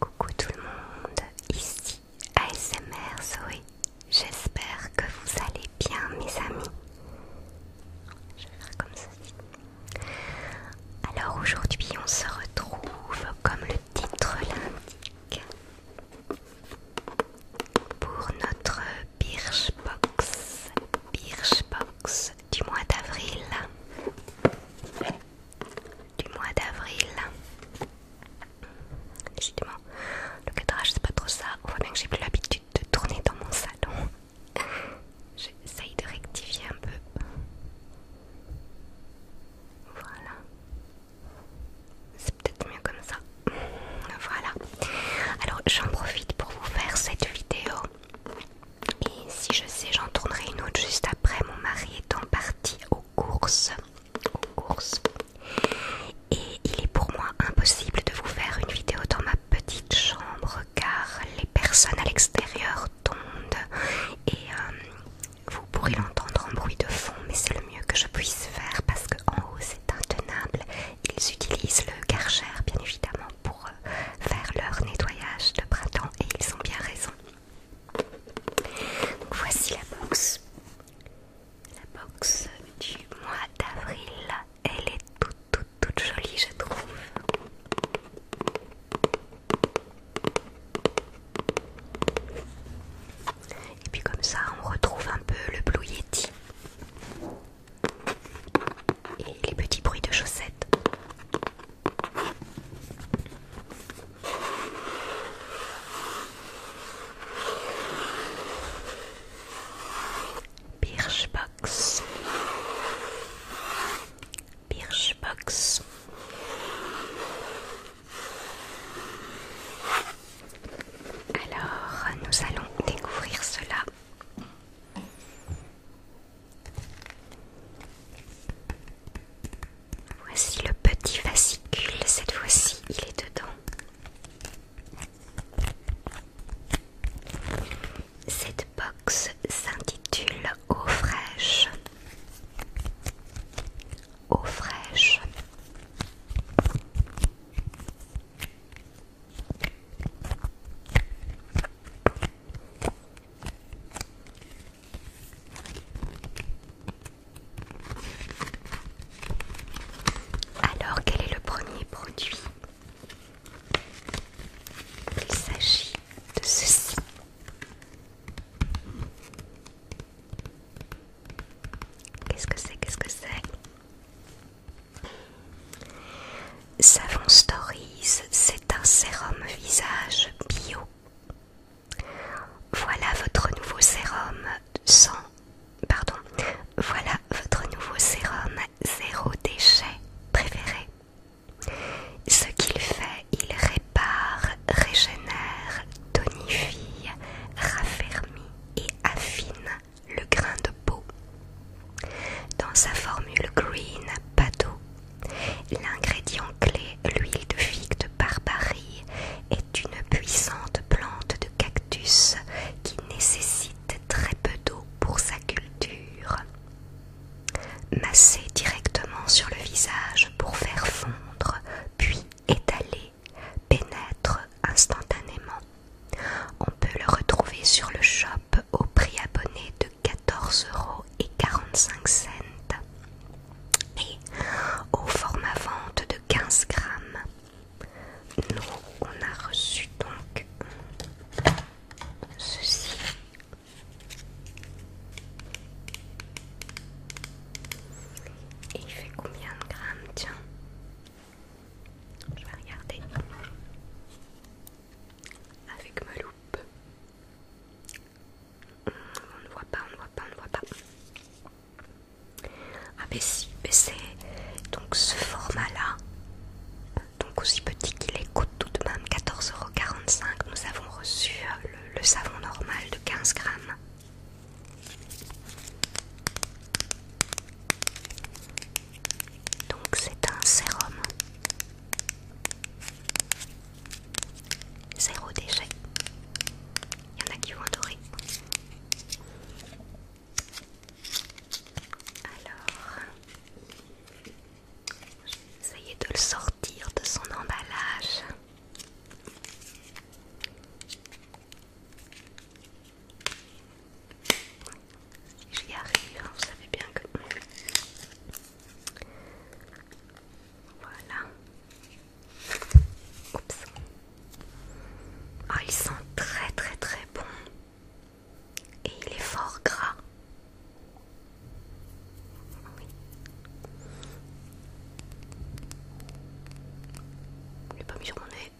Coucou tout le monde, ici ASMR Zoé. J'espère que vous allez bien mes amis. Je vais faire comme ceci. Alors aujourd'hui on se retrouve comme le titre l'indique pour notre Birchbox, Birchbox du mois d'avril, du mois d'avril. Décidément, le cadrage c'est pas trop ça. On voit bien que j'ai plus l'habitude de tourner dans mon salon. J'essaye de rectifier un peu. Voilà. C'est peut-être mieux comme ça. voilà. Alors j'en profite pour vous faire cette vidéo. Et si je sais, j'en tournerai une autre juste après. Mon mari étant parti aux courses. Aux courses. Et il est pour moi impossible de vous faire une vidéo dans ma petite chambre car les personnes à l'extérieur tombent et euh, vous pourrez l'entendre en bruit de fond, mais c'est le mieux que je puisse faire parce qu'en haut c'est intenable. Ils utilisent le Karcher bien évidemment pour euh, faire leur nettoyage de printemps et ils ont bien raison. voici la box. La box du mois d'avril. Elle est toute toute toute jolie je trouve. Et puis comme ça, on retrouve un peu le Blue Yeti et les petits bruits de chaussettes. Birchbox. Birchbox. Alors, nous allons découvrir cela. Voici le petit fascicule, cette fois-ci il est dedans. Cette box s'intitule Eau fraîche. Alors, quel est le premier produit Il s'agit de ceci. Qu'est-ce que c'est Qu'est-ce que c'est Savon Stories, c'est un sérum visage bio. Voilà votre nouveau sérum sans... Pardon. Voilà votre nouveau sérum zéro déchet préféré. Ce qu'il fait, il répare par régénère, tonifie, raffermit et affine le grain de peau. Dans sa formule Green pas d'eau l'ingrédient clé, l'huile de figue de Barbarie, est une puissante plante de cactus qui nécessite très peu d'eau pour sa culture. Masser directement sur le visage pour faire fondre, puis étaler pénètre instantanément. On peut le retrouver sur le shop au prix abonné de 14 euros et 45 cents et au format vente de 15 grammes. Nous, on a reçu donc ceci. Et il fait combien de grammes Tiens, je vais regarder avec ma loupe. On ne voit pas, on ne voit pas, on ne voit pas. Ah, ben si, c'est donc ce format-là, donc aussi petit qu'il est, coûte tout de même 14,45€. Nous avons reçu euh, le, le savon normal de 15 grammes. Donc c'est un sérum. Zéro déchet. Il y en a qui vont adorer. Alors, je vais de le sortir de son emballage. J'y arrive, vous savez bien que... Voilà. Oups. Ah, ils sont très très très bon Et il est fort gras. Je l'ai pas mis sur mon nez.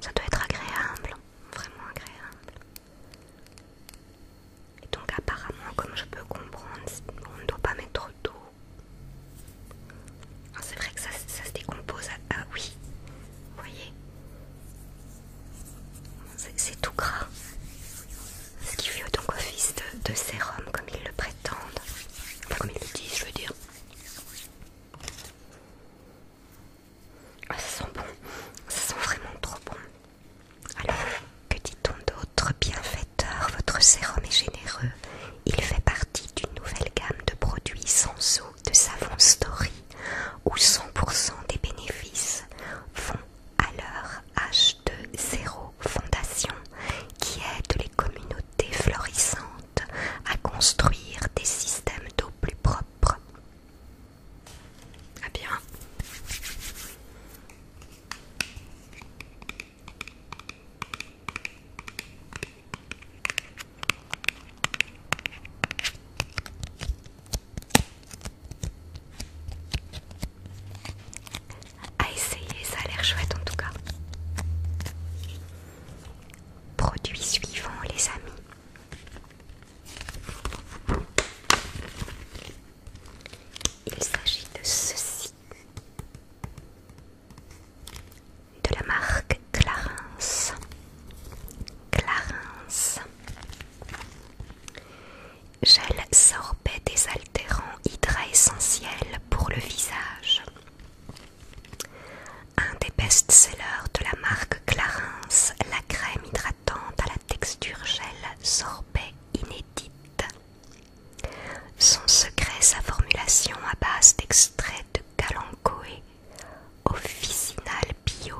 Ça doit être agréable, vraiment agréable. Et donc apparemment, comme je peux comprendre, on ne doit pas mettre trop d'eau. Ah, c'est vrai que ça, ça se décompose. Ah oui, vous voyez, c'est tout gras ce qui fait donc office de, sérum comme ils le prétendent, comme ils le disent je veux dire. Ah, ça sent bon, ça sent vraiment trop bon. Alors, que dit-on d'autre Bienfaiteur, votre sérum est généreux. Il fait partie d'une nouvelle gamme de produits sans eau de Savon Story où 100% des bénéfices vont à leur achat de Zéro Fondation qui aide les communautés florissantes à construire des systèmes d'eau plus propres. bien. À essayer, ça a l'air chouette en tout cas. Produit suivant, les amis. Il s'agit de ceci de la marque Clarence Clarence Gel sorbet désaltérant hydra essentiel pour le visage. Un des best-sellers de la marque Clarins, la crème hydratante à la texture gel sorbet inédite. Son secret, sa formulation à base d'extrait de calanchoé, officinal bio,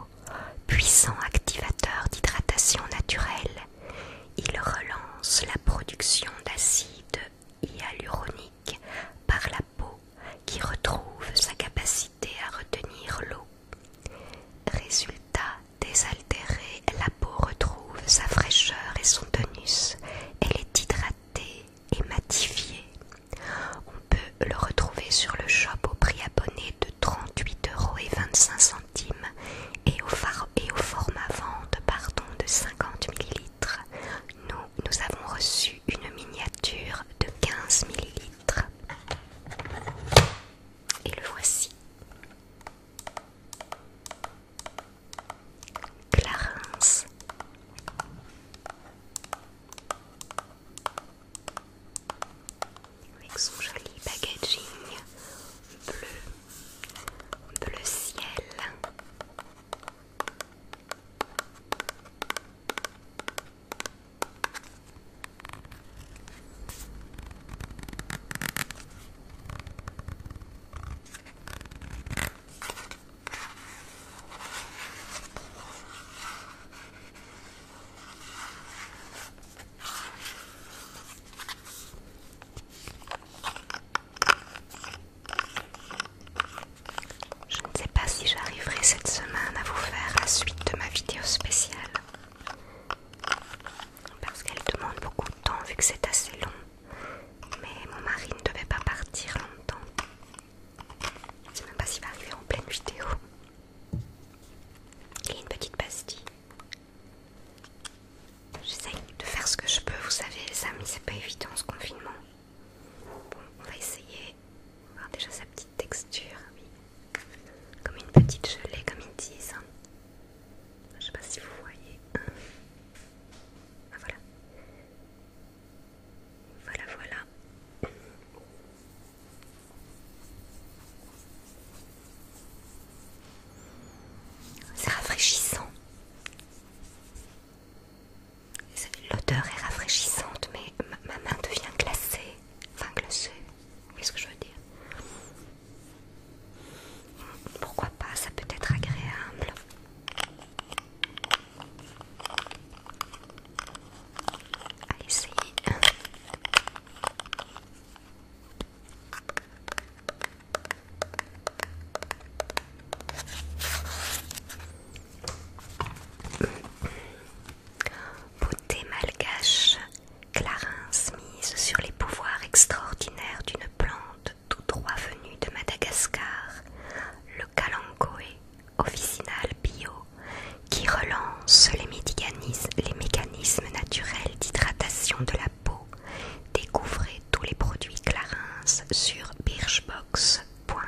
puissant activateur d'hydratation naturelle il relance la production d'acide hyaluronique par la peau qui retrouve sa capacité à retenir l'eau. Résultat désaltéré, la peau retrouve sa fraîcheur et son tonus. Elle est hydratée et matifiée. On peut le retrouver sur le shop au prix abonné de centimes et au, et format vente de 50 ml, nous, nous avons reçu une miniature de 15 ml. Et le voici. Clarence. Avec son joli packaging bleu, le ciel. Je ne sais pas si j'arriverai cette semaine à vous faire la suite de ma vidéo spéciale. Parce qu'elle demande beaucoup de temps vu que c'est assez long. Mais mon mari ne devait pas partir longtemps. Je ne sais même pas s'il va arriver en pleine vidéo. Et une petite pastille. J'essaye de faire ce que je peux, vous savez les amis, c'est pas évident ce confinement. Bon, on va essayer. on Voir déjà sa petite texture, oui. Comme une petite gelée, comme ils disent. Je sais pas si vous voyez. Ah, voilà. Voilà, voilà. C'est rafraîchissant. L'odeur est rafraîchissante, mais ma main devient glacée. Enfin, glacée, qu'est-ce que je veux dire Pourquoi pas, ça peut être agréable. Allez, essayez Beauté malgache, Clarins mise sur les pouvoirs extraordinaires d'une plante tout droit venue de Madagascar, le Kalankoe, officinal bio, qui relance les mécanismes, les mécanismes naturels d'hydratation de la découvrez tous les produits Clarins sur birchbox.fr.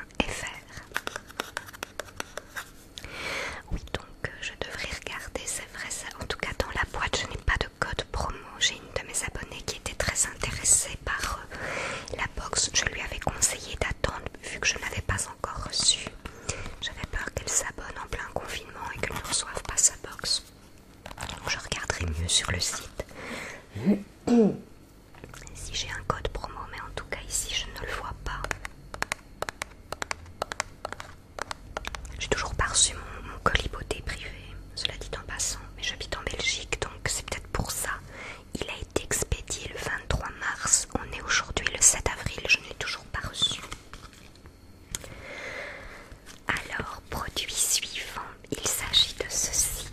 Oui, donc euh, je devrais regarder, c'est vrai, ça. en tout cas dans la boîte, je n'ai pas de code promo. J'ai une de mes abonnées qui était très intéressée par euh, la box. Je lui avais conseillé d'attendre vu que je n'avais pas encore reçu. J'avais peur qu'elle s'abonne en plein confinement et qu'elle ne reçoive pas sa box je regarderai mieux sur le site. Si j'ai un code promo, mais en tout cas ici je ne le vois pas. J'ai toujours pas reçu mon, coliboté privé, cela dit en passant, mais j'habite en Belgique donc c'est peut-être pour ça. Il a été expédié le 23 mars, on est aujourd'hui le 7 avril, je n'ai toujours pas reçu. Alors, produit suivant, il s'agit de ceci.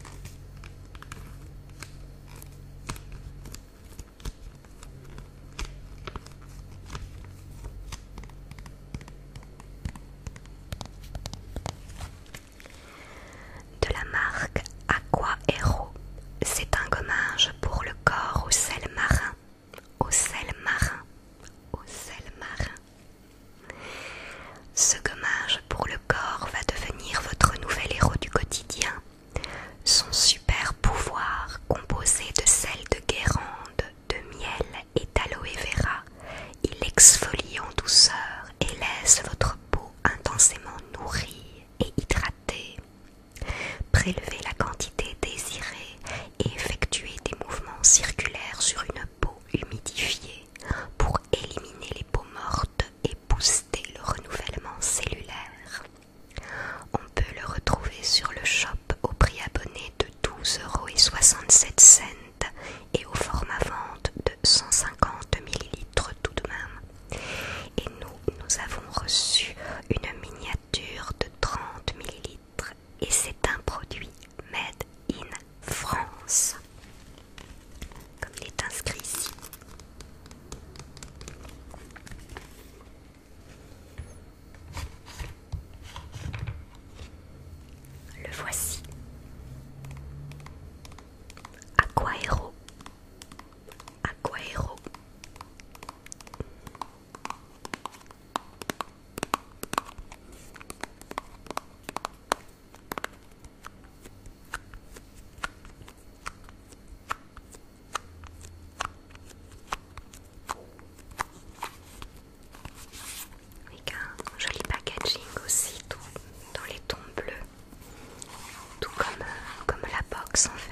De la marque Aqua Hero, c'est un gommage pour le corps au sel marin au sel marin, au sel marin. Ce gommage pour le corps va devenir votre nouvel héros du quotidien. Son super pouvoir, composé de sel de guérande, de miel et d'aloe vera, il exfolie en douceur et laisse votre peau intensément nourrie et hydratée. Prélevez la quantité désirée et effectuez des mouvements circulaires sur une peau humidifiée pour éliminer les peaux mortes et booster le renouvellement cellulaire. On peut le retrouver sur le shop au prix abonné de euros et au format vente de 150 ml tout de même. Et nous, nous avons reçu une miniature de 30 ml et c'est un produit made in France. Comme il est inscrit ici. Le voici. Aquaero. Aquaero. Regarde, joli packaging aussi, tout dans les tons bleus, tout comme, euh, comme la box en fait.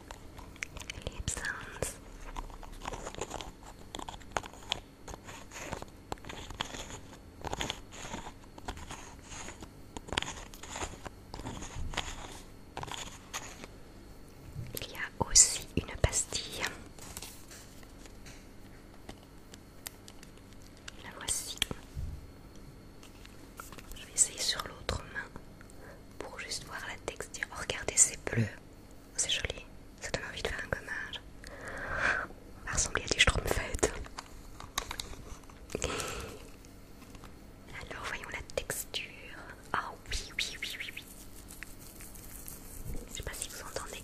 Il y a aussi une pastille. La voici. Je vais essayer sur l'autre main pour juste voir la texture. Oh, regardez, c'est bleu. C'est joli. Ça donne envie de faire un gommage. Ça ressemble à des Stromfeld. Alors, voyons la texture. Ah oh, oui, oui, oui, oui, oui. Je sais pas si vous entendez.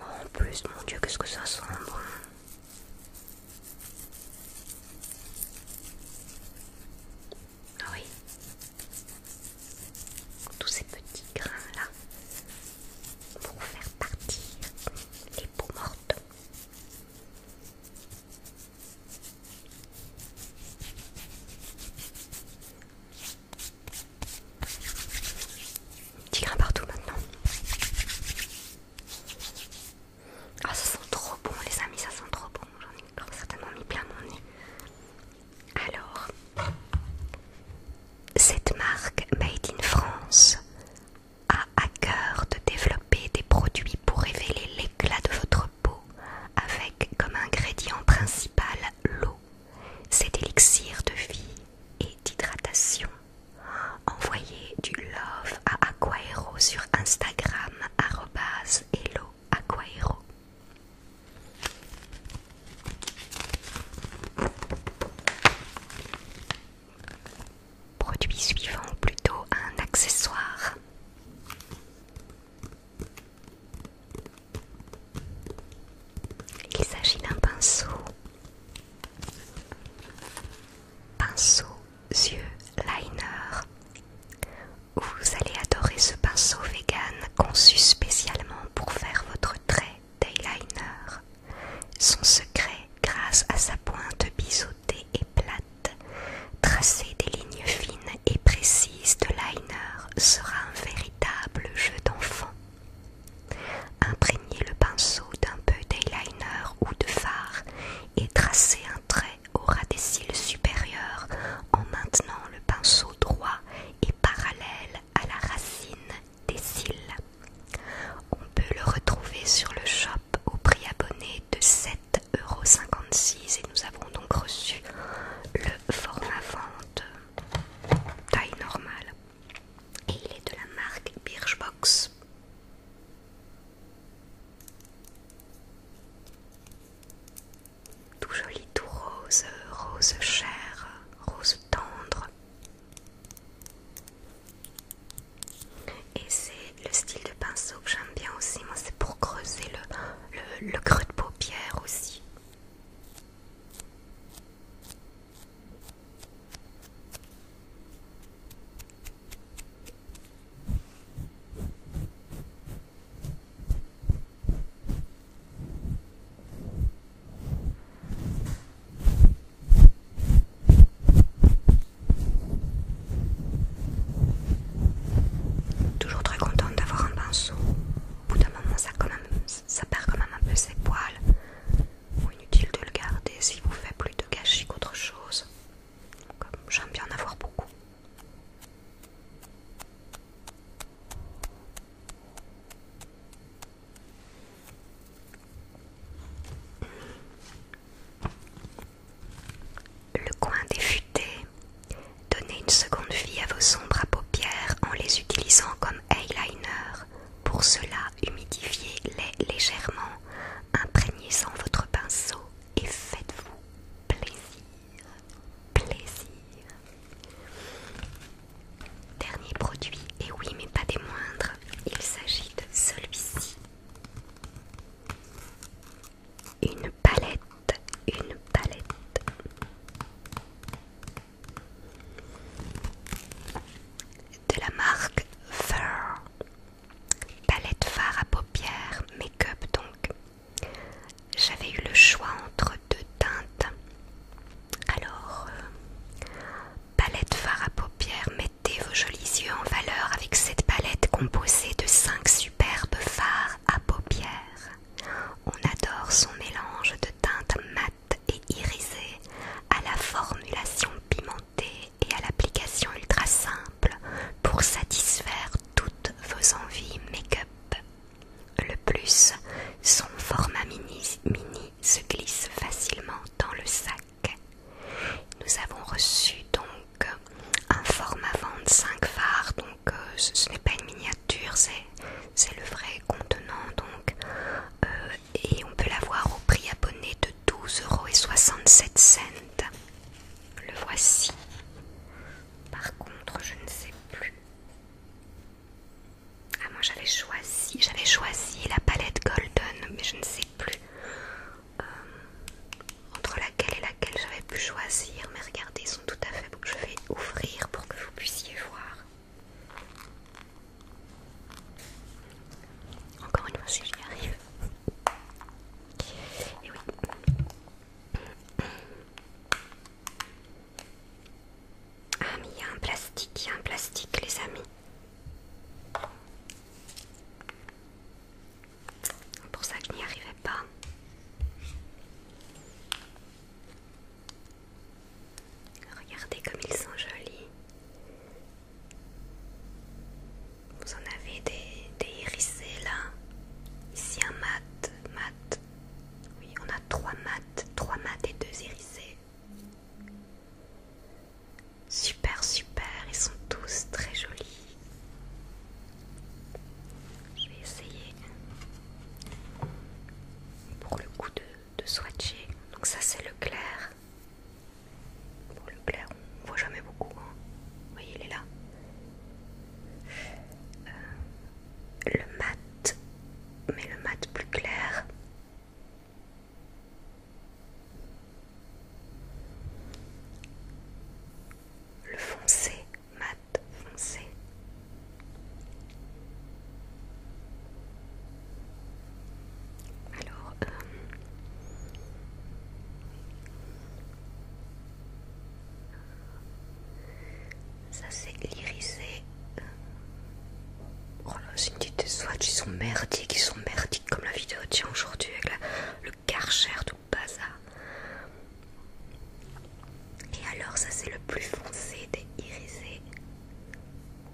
Oh, en plus, mon dieu, qu'est-ce que ça sent ah oui. Tous ces petits grains là vont faire partir les peaux mortes. Petit grain partout maintenant. Ah ça sent trop bon les amis, ça sent trop bon. J'en ai certainement mis plein mon nez. Alors, cette marque Made in France a à cœur de développer des produits pour révéler l'éclat de votre peau avec comme ingrédient principal l'eau, cet élixir de vie et d'hydratation Envoyez du love à Aquaero sur Instagram hello Produit suivant, plutôt un accessoire. Il s'agit d'un pinceau. Pinceau yeux liner. Vous allez adorer ce pinceau vegan conçu spécialement pour faire votre trait d'eyeliner. Son secret, grâce à sa pointe biseautée et plate, tracer des lignes fines et précises de liner sera un véritable jeu d'enfant. Imprégnez le pinceau d'un peu d'eyeliner ou de fard et tracer un trait au ras des cils supérieurs en maintenant le pinceau droit et parallèle à la racine des cils. On peut le retrouver sur le shop au prix abonné de 7,56€ et nous avons donc reçu le format vente taille normale et il est de la marque Birchbox. Tout joli, tout rose, rose chère, rose tendre. Et c'est le style de pinceau que j'aime bien aussi, moi c'est pour creuser le, le creux de paupière aussi. Toujours très contente d'avoir un pinceau. Au bout d'un moment, ça, perd quand même un peu ses poils. inutile de le garder s'il vous fait plus de gâchis qu'autre chose j'aime bien en avoir beaucoup. Le coin des fûtés. Donnez une seconde vie à vos sombres à paupières en les utilisant comme eyeliner. Pour cela, humidifiez-les légèrement, imprégnez-en votre pinceau et faites-vous plaisir, plaisir. Dernier produit, et oui mais pas des moindres, il s'agit de celui-ci. Une palette, une palette. De la marque Fur Palette fard à paupières, make-up donc. J'avais eu le choix entre deux teintes. Alors, euh, palette fard à paupières, mettez vos jolis yeux en valeur avec cette palette composée de 5 superbes phares à paupières. On adore son mélange de teintes mates et irisées à la formulation pimentée et à l'application ultra simple pour satisfaire toutes vos envies make-up. Le plus, son format mini, mini se glisse facilement dans le sac. Nous avons reçu donc un format 5 phares, donc euh, ce, n'est pas une miniature, c'est le vrai contenant donc euh, et on peut l'avoir au prix abonné de euros et 67 cents. Le voici. Par contre, je ne sais plus. Ah moi j'avais choisi, j'avais choisi la palette Golden, mais je ne sais plus euh, entre laquelle et laquelle j'avais pu choisir. Mais regardez, ils sont tout à fait beaux. Je vais ouvrir pour que vous puissiez voir. Encore une fois, si j'y arrive. Ah mais il y a un plastique, il y a un plastique les amis. C'est pour ça que je n'y arrivais pas. Regardez comme ils sont jolis. Vous en avez des, des hérissés là. Ici un mat, mat. Oui, on a trois mats, trois mats et deux hérissés. Super, super, ils sont tous très jolis. Je vais essayer pour le coup de swatcher. Donc ça c'est le clair. Pour le clair, on voit jamais beaucoup. Hein. voyez, il est là. Euh, le mat, mais le mat plus clair. Le foncé, mat foncé. Alors, euh, ça c'est l'irisé. Euh, oh là, c'est une petite swatch, ils sont merdiques, ils sont merdiques comme la vidéo tient aujourd'hui avec le karcher tout bazar. Et alors, ça c'est le plus foncé des irisés.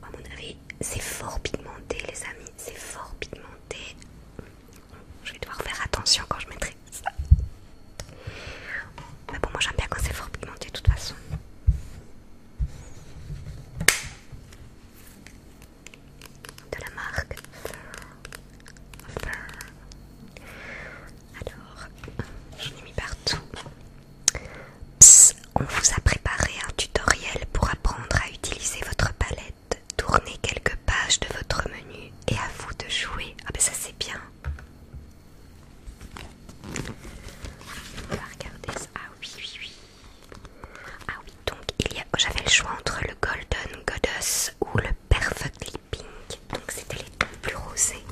À mon avis, c'est fort pigmenté, les amis, c'est fort pigmenté. Je vais devoir faire attention quand je mettrai ça. Mais bon, moi j'aime bien quand c'est fort pigmenté de toute façon. De la marque Alors, j'en ai mis partout. on vous a préparé un tutoriel pour apprendre à utiliser votre palette tourner quelques pages de votre menu et à vous de jouer. Ah ben ça c'est bien. On va regarder ça. Ah oui, oui, oui. Ah oui, donc il y a... J'avais le choix entre le Golden Goddess ou le Perfectly Pink. Donc c'était les tons plus rosés.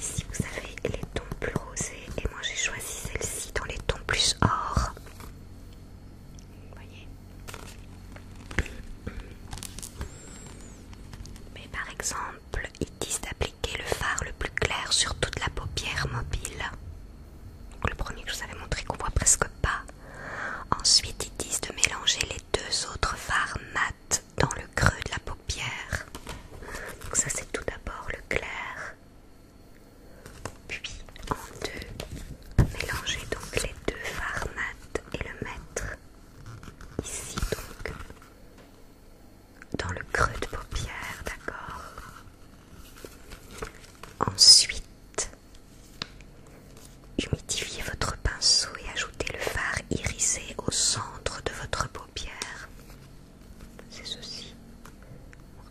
Ici vous avez les tons plus rosés et moi j'ai choisi celle-ci dans les tons plus or voyez mais par exemple ils disent d'appliquer le fard le plus clair sur toute la paupière mobile le premier que je vous avais montré qu'on voit presque pas ensuite ils disent de mélanger les deux autres phares mat dans le creux de la paupière donc ça c'est tout d'abord le clair puis en deux, mélangez donc les deux fards et le mettre ici donc dans le creux de paupière, d'accord Ensuite, humidifiez votre pinceau et ajoutez le fard irisé au centre de votre paupière. C'est ceci.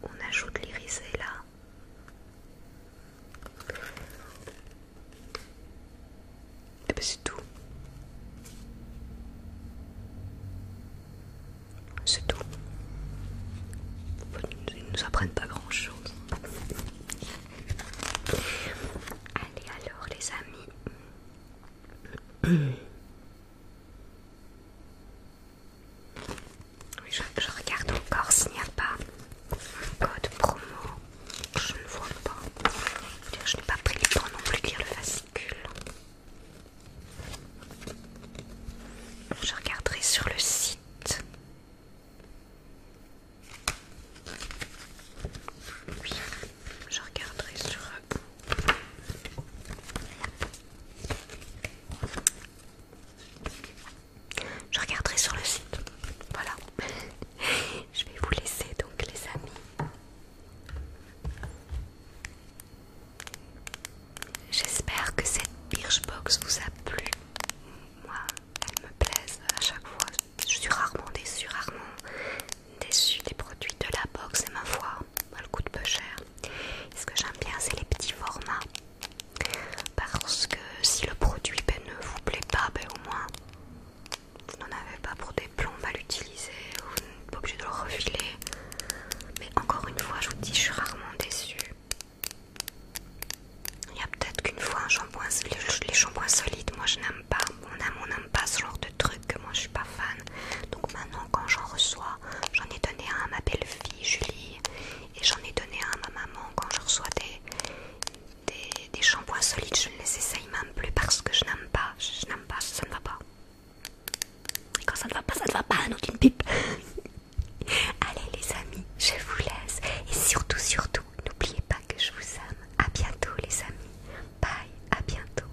On ajoute l'irisé là. Ben, c'est tout. C'est tout. Ils ne nous apprennent pas grand chose. Allez alors les amis. Oui, je, regarde encore s'il n'y a pas un code promo. Je ne vois pas. Je n'ai pas pris le temps non plus de lire le fascicule. Je regarderai sur le site. Oui, je regarderai sur. un euh, je regarderai sur le site. Voilà. Je vais vous laisser donc les amis. J'espère que cette box vous a plu. Moi, elle me plaise à chaque fois. Je suis rarement déçue, rarement déçue des produits de la box. Et ma foi, coût coûte peu cher. ce que j'aime bien, c'est les petits formats. Parce que si le produit ben, ne vous plaît pas, ben, au moins vous n'en avez pas pour des plombs à l'utiliser, vous n'êtes pas obligé de le refiler. Mais encore une fois, je vous dis, je suis rarement déçue. Il y a peut-être qu'une fois les shampoings solides, moi je n'aime pas, mon n'aime pas ce genre de truc, que moi je suis pas fan. Donc maintenant, quand j'en reçois, j'en ai donné un à ma belle-fille Julie, et j'en ai donné un à ma maman quand je reçois des, shampoings solides je ne les essaye même plus parce que je n'aime pas je, n'aime pas ça ne va pas et quand ça ne va pas ça ne va pas non d'une pipe allez les amis je vous laisse et surtout surtout n'oubliez pas que je vous aime à bientôt les amis bye à bientôt